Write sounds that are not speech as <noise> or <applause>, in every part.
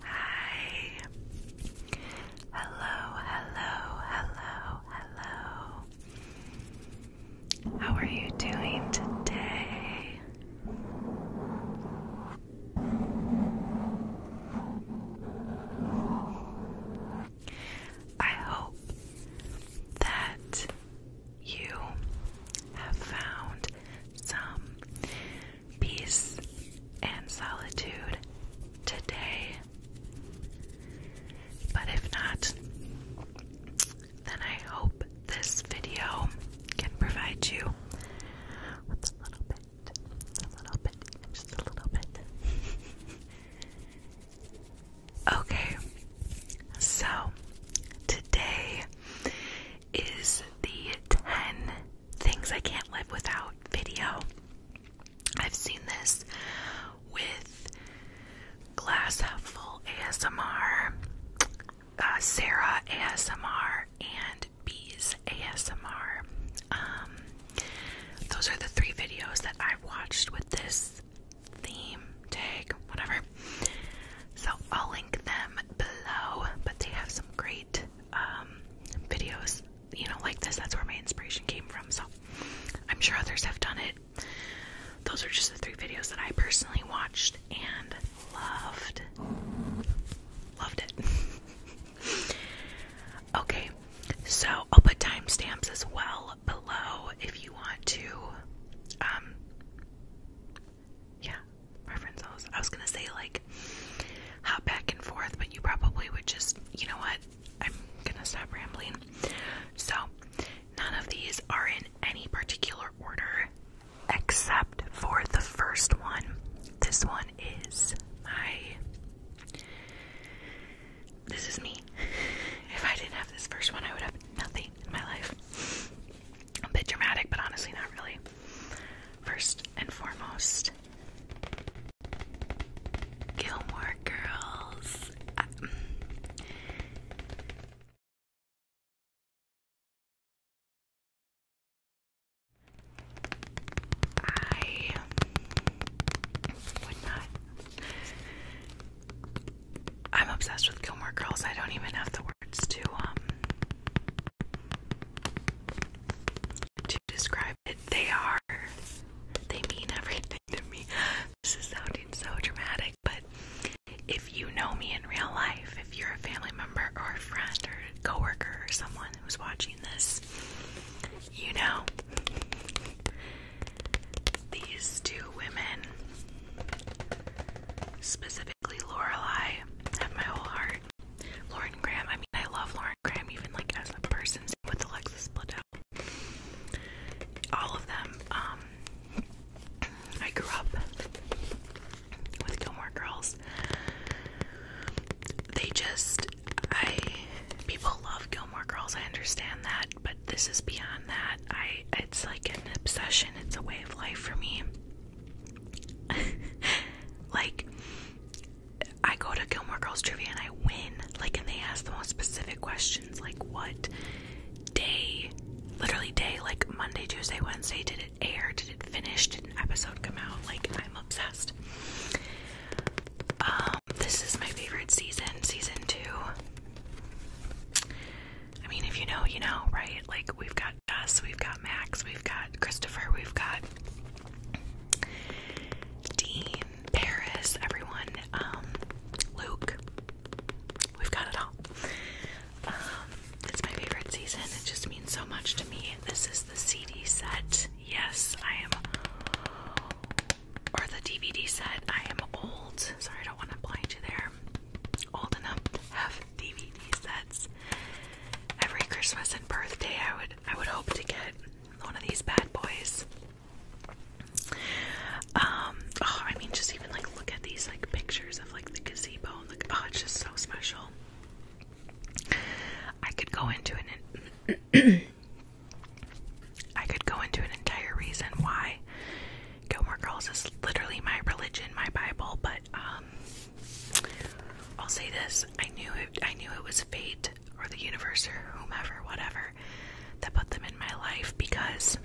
Hi. Hello, hello, hello, hello. How are you doing today? I hope that you have found some peace and solitude today. But if not, then I hope this video can provide you with a little bit, a little bit, just a little bit. <laughs> okay, so today is the 10 things I can't live without video. I've seen this with Glass Half Full ASMR, uh, Sarah ASMR, and Bees ASMR. Um, those are the three videos that I've watched with this theme tag, whatever. So I'll link them below, but they have some great um, videos, you know, like this. That's where my inspiration came from. So I'm sure others have done it. Those are just the three videos that I personally watched and loved. Loved it. <laughs> okay, so I'll put timestamps as well below if you want to um, yeah, preferences. I was gonna say like hop back and forth, but you probably would just, you know what? I'm gonna stop rambling. So, none of these are in any particular order except for the first one. This one is my. This is me. <laughs> If I didn't have this first one, I would have nothing in my life a bit dramatic, but honestly, not really. First and foremost, Gilmore Girls. Uh, I would not I'm obsessed with Gilmore Girls. I don't even have the words to um to describe it. They are they mean everything to me. This is sounding so dramatic, but if you know me in real life, if you're a family member or a friend or a coworker or someone who's watching this, you know these two women Specifically, Lorelai my whole heart. Lauren Graham, I mean, I love Lauren Graham even like as a person with Alexis Bledel. All of them. Um, I grew up with Gilmore Girls. They just, I people love Gilmore Girls. I understand that, but this is beyond that. I it's like an obsession, it's a way of life for me. <laughs> like I go to Gilmore Girls Trivia and I win. Like and they ask the most specific questions like what day literally day like Monday, Tuesday, Wednesday did it air? Did it finish? Did an episode come out? Like I'm obsessed. Um this is my favorite season, season 2. I mean, if you know, you know, right? Like, we've got Jess, we've got Max, we've got Christopher, we've got Dean, Paris, everyone, um, Luke. We've got it all. Um, it's my favorite season. It just means so much to me. This is the CD set. Yes, I am. Or the DVD set. I am old. Sorry, I don't want to blind you there old enough to have DVD sets. Every Christmas and birthday, I would I would hope to get one of these bad boys. Um, oh, I mean, just even like look at these like pictures of like the gazebo and like oh, it's just so special. I could go into an <coughs> I could go into an entire reason why Gilmore Girls is literally my religion, my Bible, but um I'll say this, I knew it I knew it was fate or the universe or whomever, whatever, that put them in my life because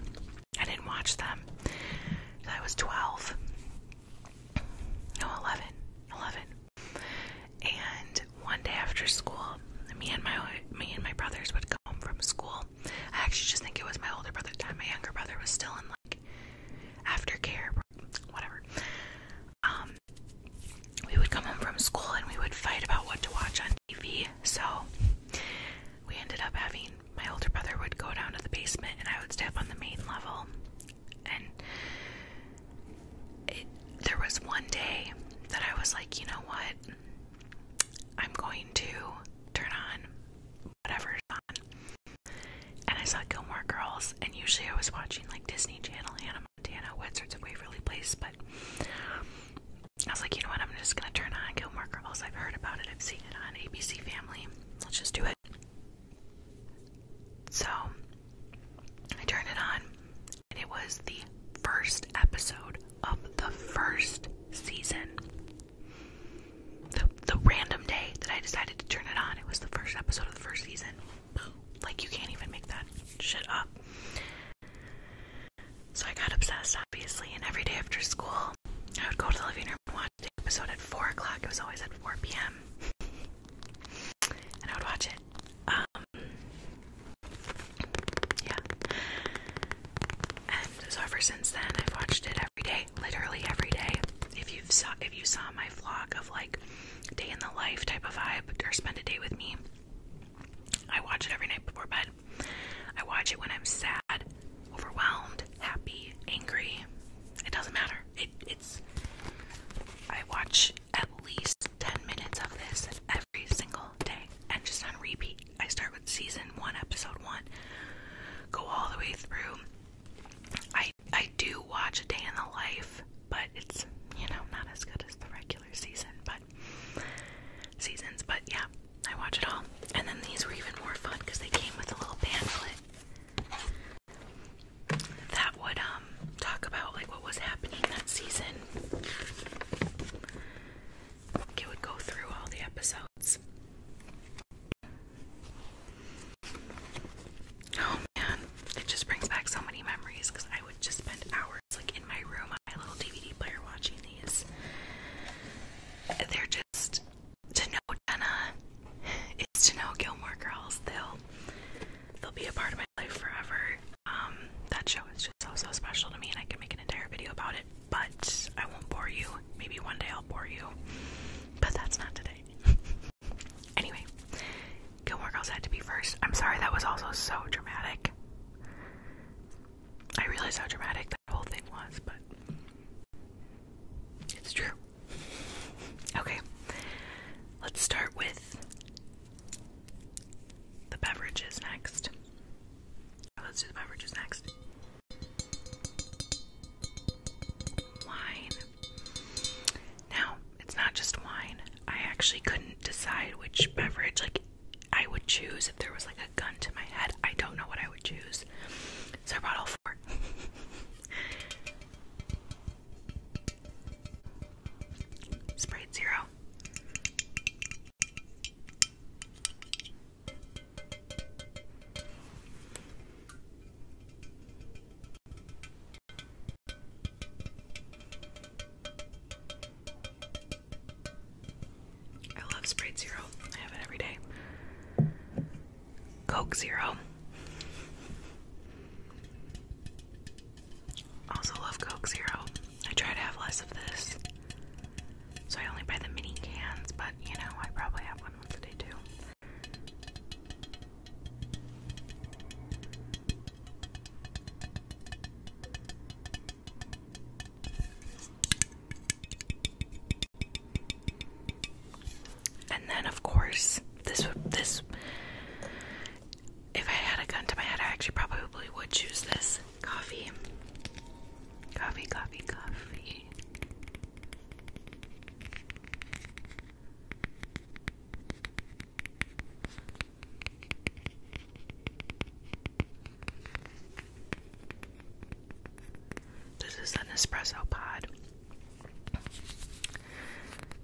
I didn't watch them. I was 12. No, 11. And one day after school, me and my me and my brothers would come home from school I actually just think it was my older brother My younger brother was still in like aftercare, whatever. Um, we would come home from school and we would fight about what to watch on TV. So we ended up having my older brother would go down to the basement and I would step up on the main level. And it, there was one day that I was like, you know what? I'm going to turn on whatever's on. And I saw Gilmore Girls, and usually I was watching like Disney Channel, Hannah Montana, Wizards of Waverly Place, but I was like, you know what, I'm just gonna turn on Gilmore Girls. I've heard about it, I've seen it on ABC Family. Let's just do it. So I turned it on, and it was the first episode of the first season the the random day that I decided to turn it on. It was the first episode of the first season. Like you can't even make that shit up. So I got obsessed, obviously, and every day after school, I would go to the living room and watch the episode at four o'clock. It was always at four p.m. and I would watch it. Um, yeah. And so ever since then, I've watched it every day, literally every day. If you've saw if you saw my vlog of like day in the life type of vibe or spend a day with me, I watch it every night before bed. I watch it when I'm sad, overwhelmed, happy, angry. It doesn't matter. it's I watch at least 10 minutes of this every single day and just on repeat. I start with season one, episode one, go all the way through. I I do watch A Day in the Life, but it's you know not as good as the regular season, but seasons. But yeah, I watch it all, and then these were even more fun because they came with a little pamphlet that would um talk about like what was happening that season it would go through all the episodes. Oh man, it just brings back so many memories because I would just spend hours like in my room on my little DVD player watching these. They're just to know Jenna is to know Gilmore Girls. They'll they'll be a part of my life forever. Um, that show is just so special to me, and I can make an entire video about it but I won't bore you. Maybe one day I'll bore you, but that's not today. <laughs> anyway, Gilmore Girls had to be first. I'm sorry, that was also so dramatic. I realize how dramatic that whole thing was, but it's true. <laughs> Okay, let's start with the beverages next. Let's do the beverages next wine. Now, it's not just wine. I actually couldn't decide which beverage like I would choose if there was like a gun to my head. I don't know what I would choose. So I brought all four. <laughs> Sprite Zero. I love Sprite Zero. I have it every day. Coke Zero. Also love Coke Zero. I try to have less of this. So I only buy the mini cans, but you know, I probably have one once a day too. And then, of course, this would this. If I had a gun to my head, I actually probably would choose this. Coffee. Coffee, coffee, coffee. This is an espresso pod.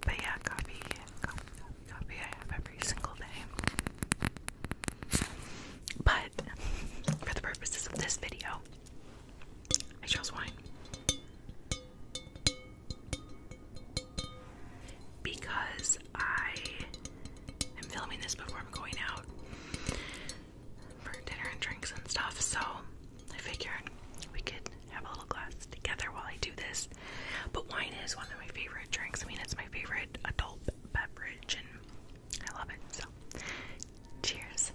But yeah, coffee, coffee, coffee I have every single day. But for the purposes of this video, I chose wine. Because I am filming this before I'm going out for dinner and drinks and stuff, so I figured we could have a little glass together while I do this. But wine is one of my favorite drinks. I mean, it's my favorite adult beverage, I love it. So, cheers.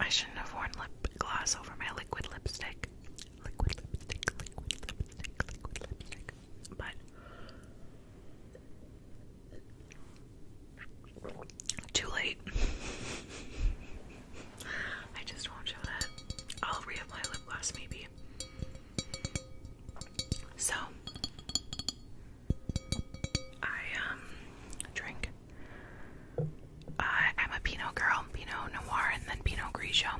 I shouldn't have worn lip gloss over my liquid lipstick. Liquid lipstick, liquid lipstick, liquid lipstick. But too late. <laughs> I just won't show that. I'll reapply lip gloss maybe. So I um drink. Uh, I'm a Pinot girl, Pinot Noir, and then Pinot Grigio.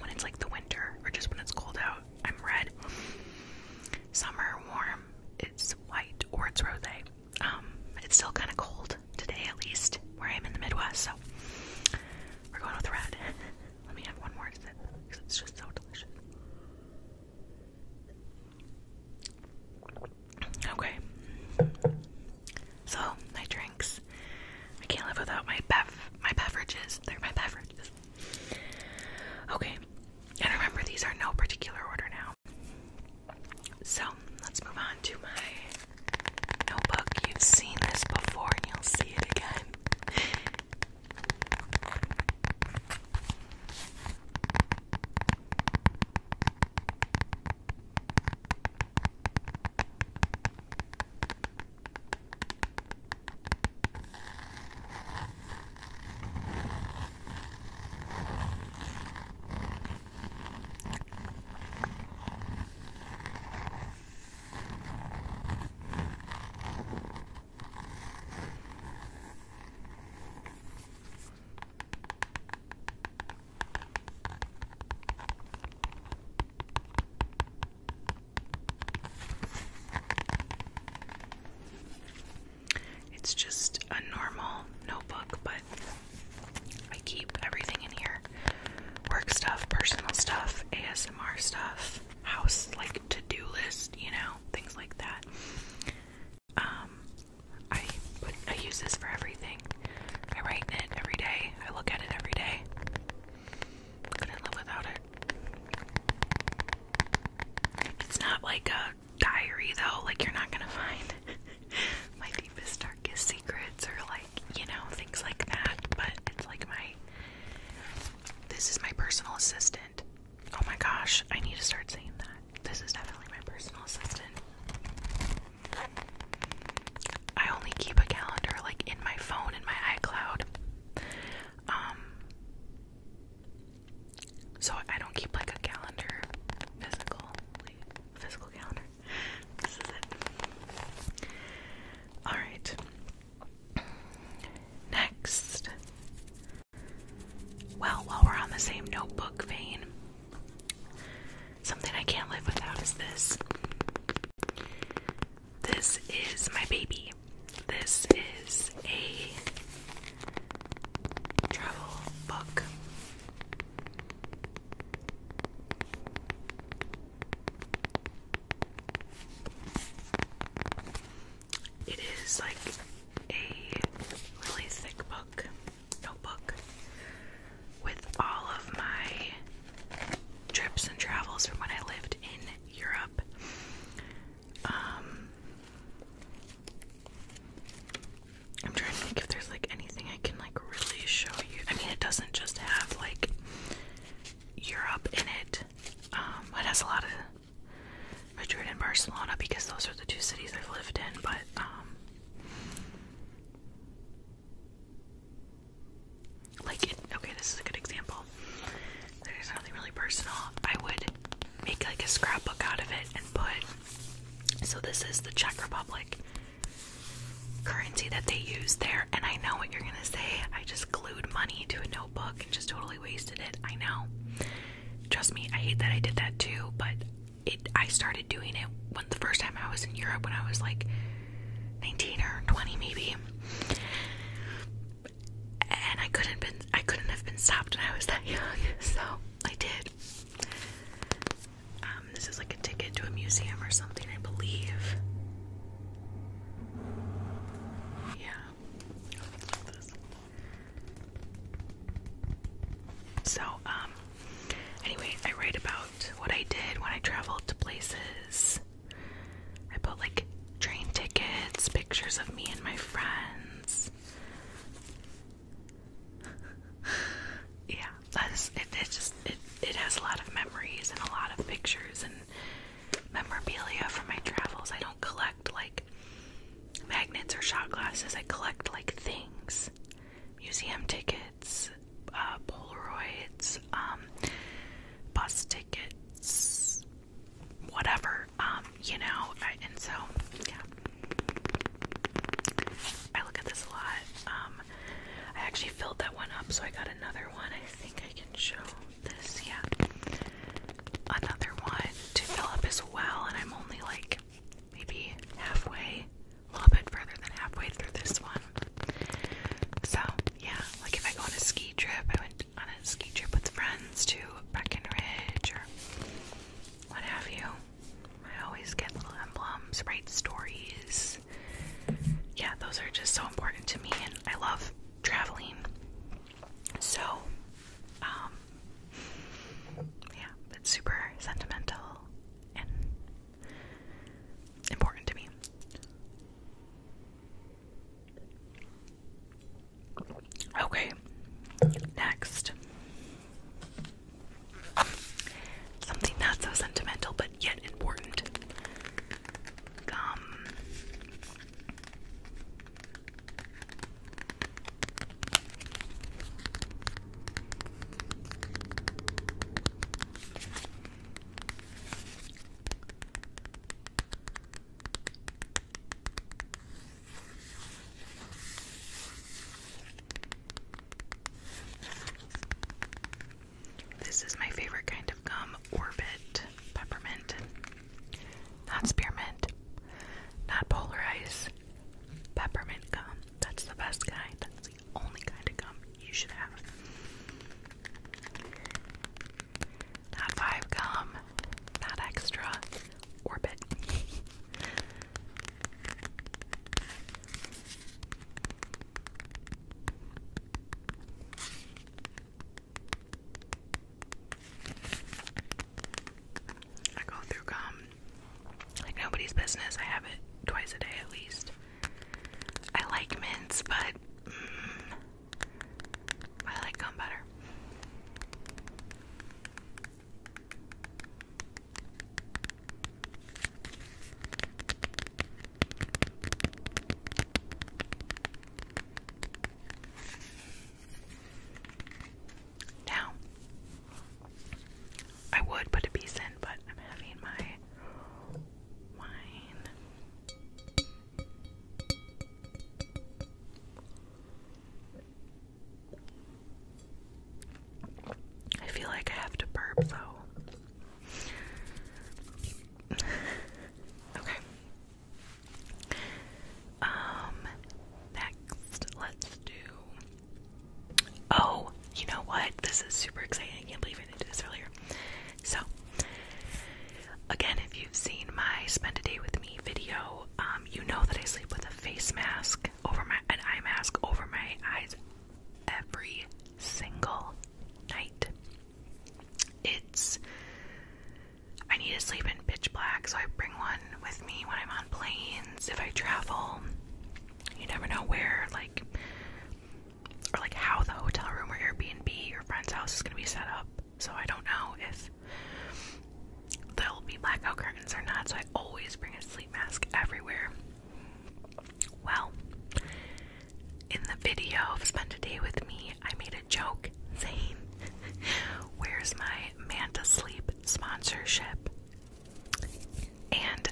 When it's like the winter, or just when it's cold out, I'm red. Summer warm, it's white or it's rosé. Um, it's still kind of cold today, at least where I am in the Midwest. So we're going with red. <laughs> Let me have one more it's just so delicious. Okay, so my drinks. I can't live without my bev my beverages. They're my beverages. Okay, and remember these are no particular order now. So let's move on to my notebook. You've seen this before and you'll see it again. It's just a normal notebook, but I keep everything in here work stuff, personal stuff, ASMR stuff, house like to do list, you know, things like that. Um, I I use this for everything. I write in it every day, I look at it every day. Couldn't live without it. It's not like a diary though, like you're not gonna <laughs> find <laughs> my deepest, darkest secrets, or like, you know, things like that. But it's like my. This is my personal assistant. Oh my gosh, I need to start saying that. This is definitely my personal assistant. I only keep a calendar like in my phone and my iCloud. Um so I don't keep like a calendar physical physical calendar this is it. Alright. Next. Well, while we're on the same notebook vein, something I can't live without is this. This is my baby. This is a travel book. It is like a really thick book, notebook, with all of my trips and travels from when I lived in Europe. Um, I'm trying to think if there's like anything I can like really show you. I mean, it doesn't just have like Europe in it. Um, it has a lot of Madrid and Barcelona because those are the two cities I've lived in. But um, like, okay, this is a good example. There's nothing really personal. I would make like a scrapbook out of it and put. So this is the Czech Republic currency that they use there. And I know what you're gonna say. I just glued money to a notebook and just totally wasted it. I know. Trust me, I hate that I did that too, but it I started doing it when the first time I was in Europe when I was like 19 or 20 maybe. And I couldn't been I couldn't have been stopped when I was that <laughs> young. So I did. Um, this is like a ticket to a museum or something, I believe. Yeah. So, um, anyway, I write about what I did when I traveled to places. I put like train tickets, pictures of me and my friends. <laughs> yeah, that's it. It just it it has a lot of memories and a lot of pictures and memorabilia from my travels. I don't collect like magnets or shot glasses. I collect like things, museum tickets, uh, Polaroids, um, bus tickets, whatever. Um, you know, I, and so yeah. I look at this a lot. Um, I actually filled that one up, so I got another one. I think I can show this. Yeah, another one to fill up as well, and I'm only like maybe halfway, a little bit further than halfway through this one. So yeah, like if I go on a ski trip, I went on a ski trip with friends to Breckenridge or what have you. I always get little emblems, write stories. Yeah, those are just so important to me, and I love traveling. So, um, yeah, it's super sentimental and important to me. Okay, next. Something not so sentimental but yet important. Gum. This is my favorite kind of gum, Orbit Peppermint. Not spearmint, not polarize, peppermint gum. That's the best kind. the only kind of gum you should have. Not five gum, not extra, Orbit. <laughs> I go through gum like nobody's business. I have it twice a day at least. I like mints, but mm, I like gum better. Now, I would put a piece in, but I'm having my wine. I feel like I have to burp though. okay. Um, next, let's do. Oh, you know what? This is super exciting. I can't believe I didn't do this earlier. So, again, if you've seen my spend a day with me video, um, you know that I sleep with a face mask over my an eye mask over my eyes every single night. It's I need to sleep in pitch black, so I bring one with me when I'm on planes, if I travel. You never know where like or like how the hotel room or Airbnb or friend's house is going to be set up. So I don't know if there will be blackout curtains or not, so I always bring a sleep mask everywhere. Well, in the video of Spend a Day with Me, I made a joke saying, <laughs> Where's my Manta Sleep sponsorship? And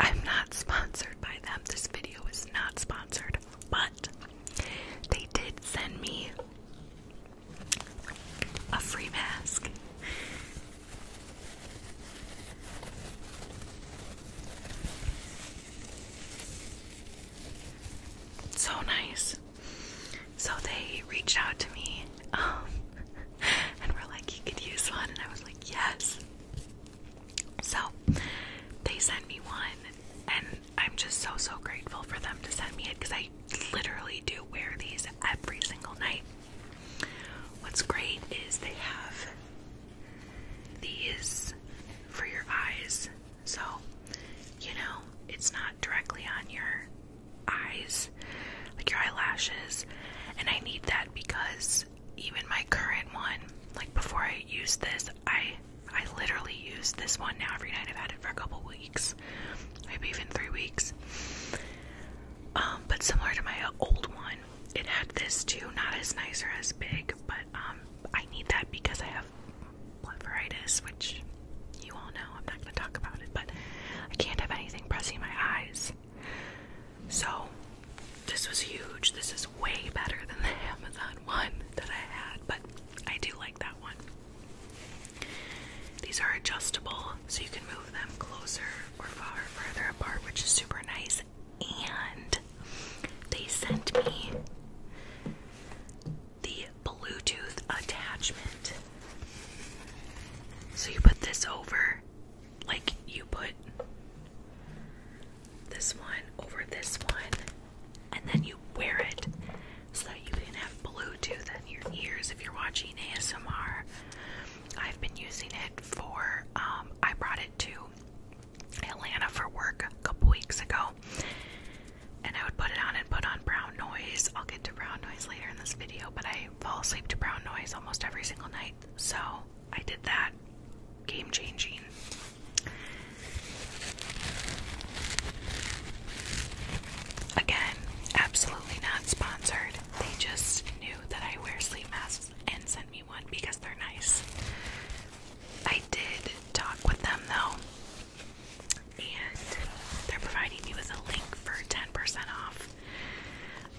I'm not sponsored by them. This video is not sponsored, but they did send me a free mask. So nice. So they reached out to me um, <laughs> and were like, you could use one. And I was like, yes. So they sent me one. And I'm just so, so grateful for them to send me it because I literally do wear these every single night. What's great is they have these for your eyes, so you know it's not directly on your eyes, like your eyelashes. And I need that because even my current one, like before I use this, I I literally use this one now every night. I've had it for a couple weeks maybe even three weeks. Um, but similar to my old one, it had this too, not as nice or as big, but um, I need that because I have blepharitis, which you all know. I'm not going to talk about it, but I can't have anything pressing my eyes. So this was huge. This is way better than the <laughs> Amazon one that I had, but I do like that one. These are adjustable, so you can move them closer or far further apart, which is super nice. And they sent me the Bluetooth attachment. So you put this over, like you put this one over this one, and then you wear it, so that you can have Bluetooth in your ears if you're watching ASMR. I've been using it for, um, I brought it to Atlanta for work a couple weeks ago. And I would put it on and put on brown noise. I'll get to brown noise later in this video, but I fall asleep to brown noise almost every single night. So I did that. Game changing. Again, absolutely not sponsored. They just knew that I wear sleep masks and sent me one because they're nice. I did talk with them though, and they're providing me with a link for 10% off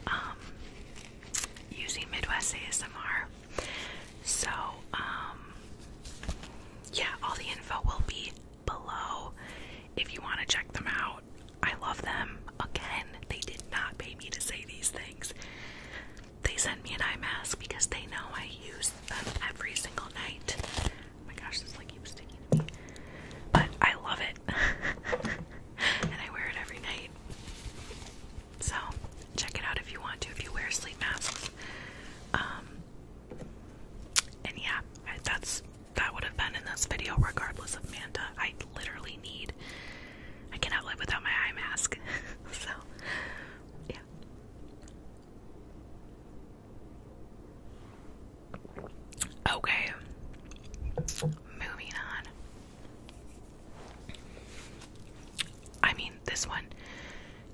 um, using Midwest ASMR. So, um, yeah, all the info will be below if you want to check them out. I love them. Again, they did not pay me to say these things. They sent me an eye mask because they know I use them every single night. Oh my gosh, this like keeps sticking to me. But I love it. <laughs> and I wear it every night. So check it out if you want to, if you wear sleep masks. Um, and yeah, that's that would have been in this video regardless of Manta. I literally need I cannot live without my eye mask. <laughs> so yeah. Okay. Moving on. I mean, this one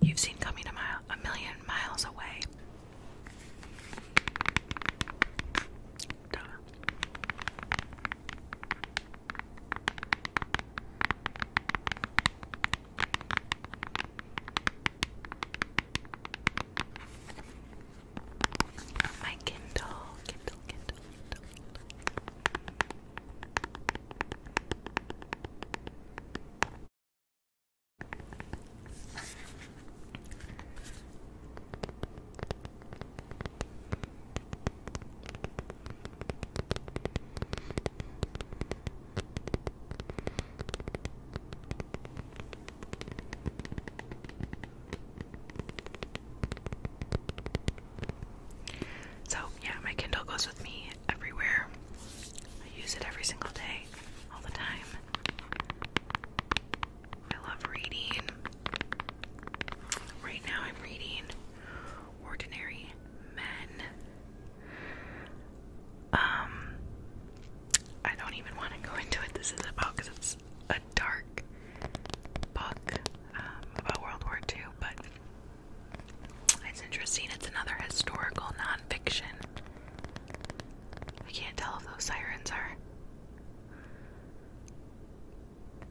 you've seen coming a mile a million miles away. Donna. Oh, my Kindle, Kindle, Kindle. Kindle. So, yeah, my Kindle goes with me everywhere. I use it every single day, all the time. I love reading. Right now, I'm reading Ordinary Men. Um, I don't even want to go into what this is about it's a dark book um, about World War II, but it's interesting. It's another historical nonfiction I can't tell if those sirens are.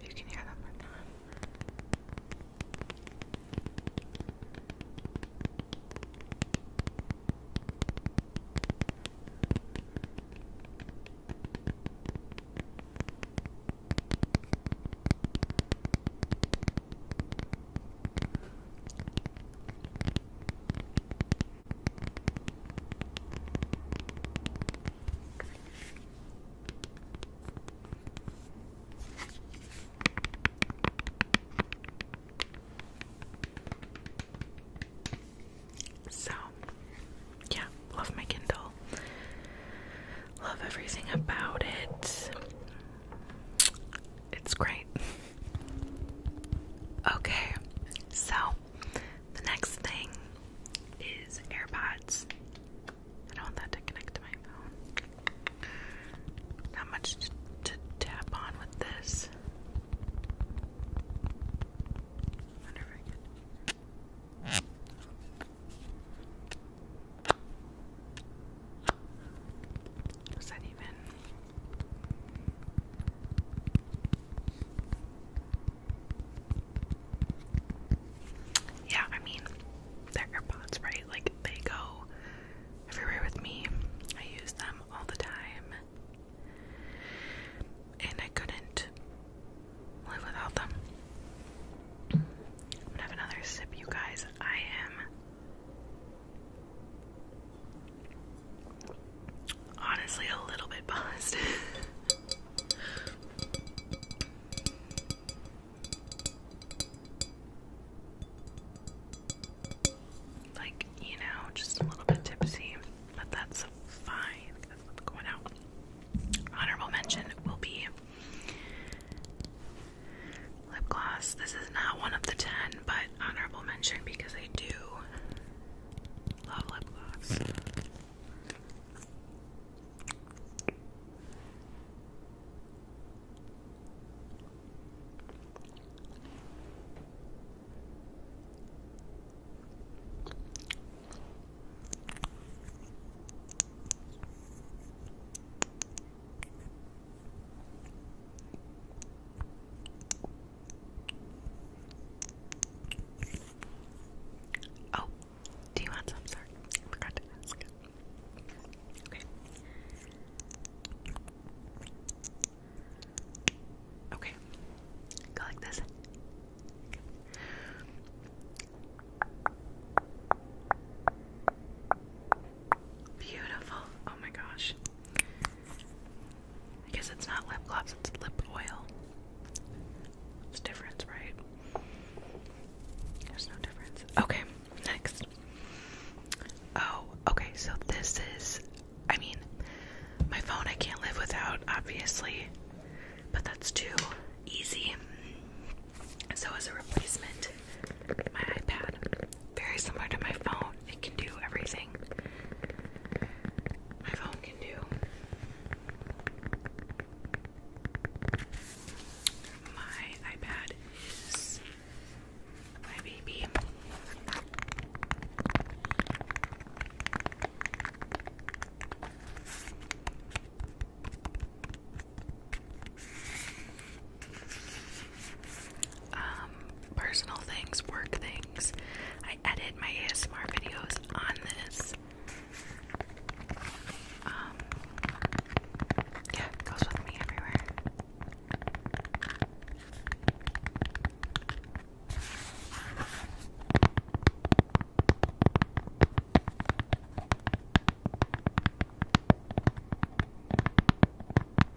you can hear them or not. So, yeah, love my Kindle. Love everything about it. It's great. Okay, so the next thing is AirPods. I don't want that to connect to my phone. Not much to, tap on with this. Wonder if I can. Was that even? Yeah, I mean, they're AirPods, right? Like, they go everywhere with me. I use them all the time. And I couldn't live without them. I'm gonna have another sip, you guys. I am Honestly, a little bit buzzed. <laughs> like, you know, just a little bit tipsy, but that's fine. going out. Honorable mention will be lip gloss. This is not one of the 10, but honorable mention because I do love lip gloss. Oh, do you want some? Okay. Go like this. Beautiful. Oh my gosh. I guess it's not lip gloss, it's lip oil. It's difference, right? There's no difference. Okay, next. Oh, okay, so this is I mean, my phone I can't live without, obviously, but that's too easy. So as a replacement, my iPad very similar to my phone. It can do everything my phone can do. My iPad is my baby. Um, personal things, work things. I edit my ASMR videos on this. Um, yeah, goes with me everywhere.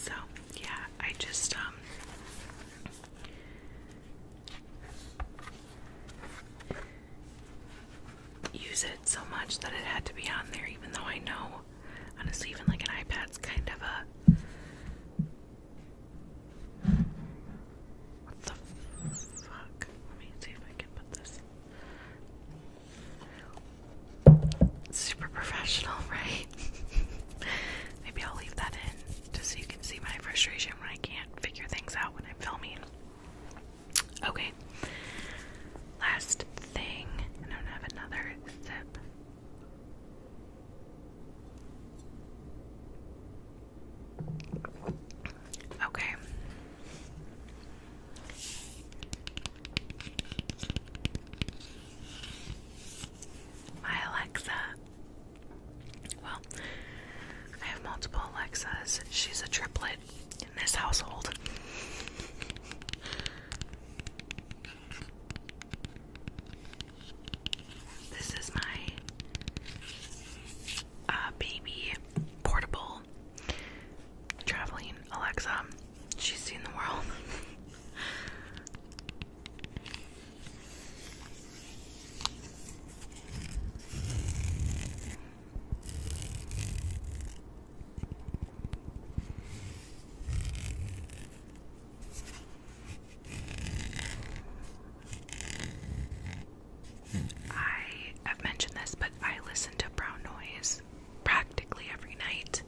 So, yeah, I just, um, use it so much that it had to be on there, even though I know, honestly, even like an iPad's kind of a. What the fuck? Let me see if I can put this. Super professional, <laughs> right? Maybe I'll leave that in just so you can see my frustration when I can't figure things out when I'm filming. Okay. Last thing, I'm going have another sip. Okay. My Alexa. Well, I have multiple Alexas. She's a triplet, in this household. This is my uh, baby portable traveling Alexa. She's seen the world. <laughs> I have mentioned this, but I listen to brown noise practically every night.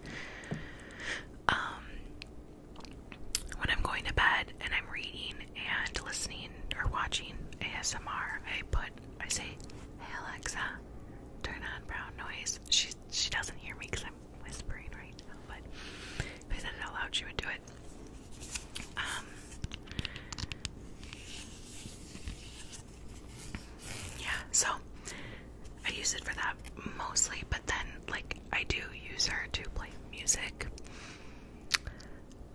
Um, when I'm going to bed and I'm reading and listening or watching ASMR, I put I say, "Hey Alexa, turn on brown noise." She she doesn't hear me because I'm whispering right now. But if I said it out loud, she would do it. Um. Yeah. So I use it for that mostly, but then like I do use her to play music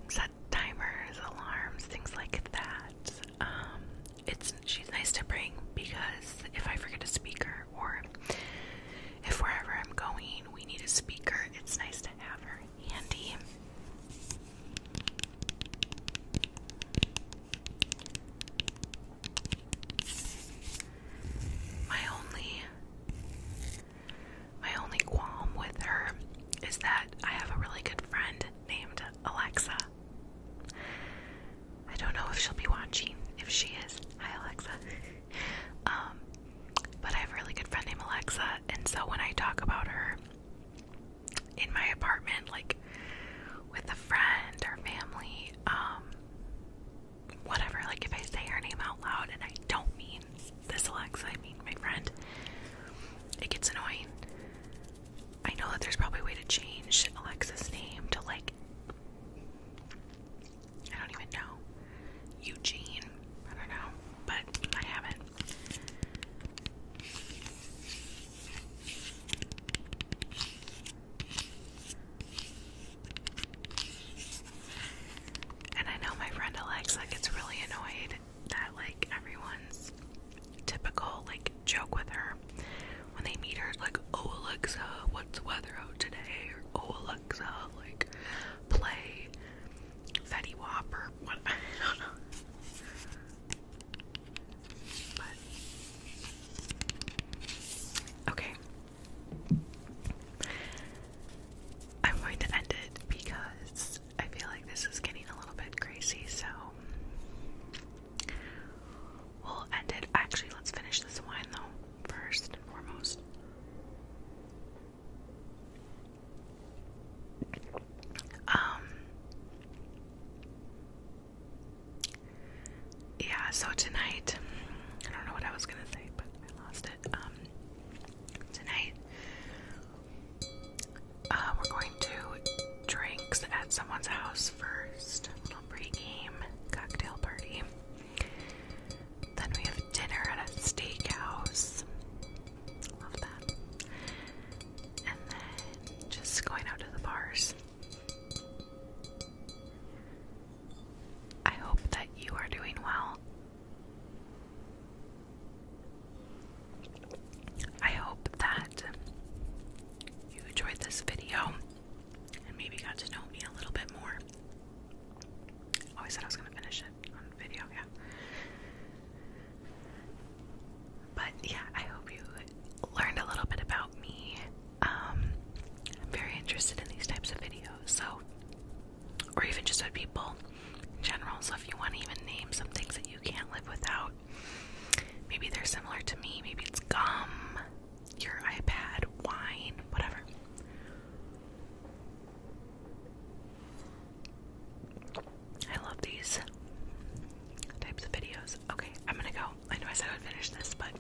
set timers, alarms, things like that. Um, it's she's nice to bring because if I forget a speaker or if wherever I'm going we need a speaker, it's nice to have her handy. My only my only qualm with her is that I have a really good friend named Alexa. I don't know if she'll be watching. If she is, hi Alexa. um, but I have a really good friend named Alexa, and so when I talk about her in my apartment, like with a friend or family, um, whatever, like if I say her name out loud and I don't mean mean, this Alexa, I mean, my friend, it gets annoying. I know that there's probably a way to change Alexa's name to like, I don't even know, Eugene. I don't know, but I haven't. And I know my friend Alexa gets really annoyed that like everyone's typical like joke with her when they meet her like oh Alexa what's weather today or oh Alexa like play Fetty Wap what <laughs> I don't know but okay I'm going to end it because I feel like this is getting a little bit crazy, so we'll end it. Actually, let's finish this wine though, first and foremost. Um, yeah, so tonight, I don't know what I was gonna say, but I lost it. Um, tonight uh, we're going to drinks at someone's house first. A little pregame cocktail party. Then we have dinner at a steakhouse. Love that. And then just going out to the bars. I hope that you are doing well. I hope that you enjoyed this video and maybe got to know me a little bit more. Oh, I said I was going to finish it on video, yeah. But yeah, I hope you learned a little bit about me. Um, I'm very interested in these types of videos, so or even just with people in general. So if you want to even name some things that you can't live without, maybe they're similar to me. Maybe it's gum, your iPad, wine, whatever. I love these types of videos. Okay, I'm gonna go. I know I said I would finish this, but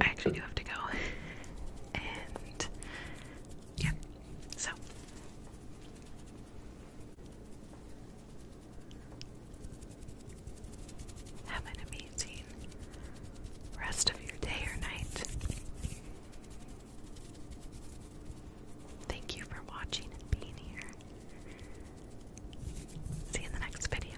I actually do have to go. <laughs> Yeah. So. Have an amazing rest of your day or night. Thank you for watching and being here. See you in the next video.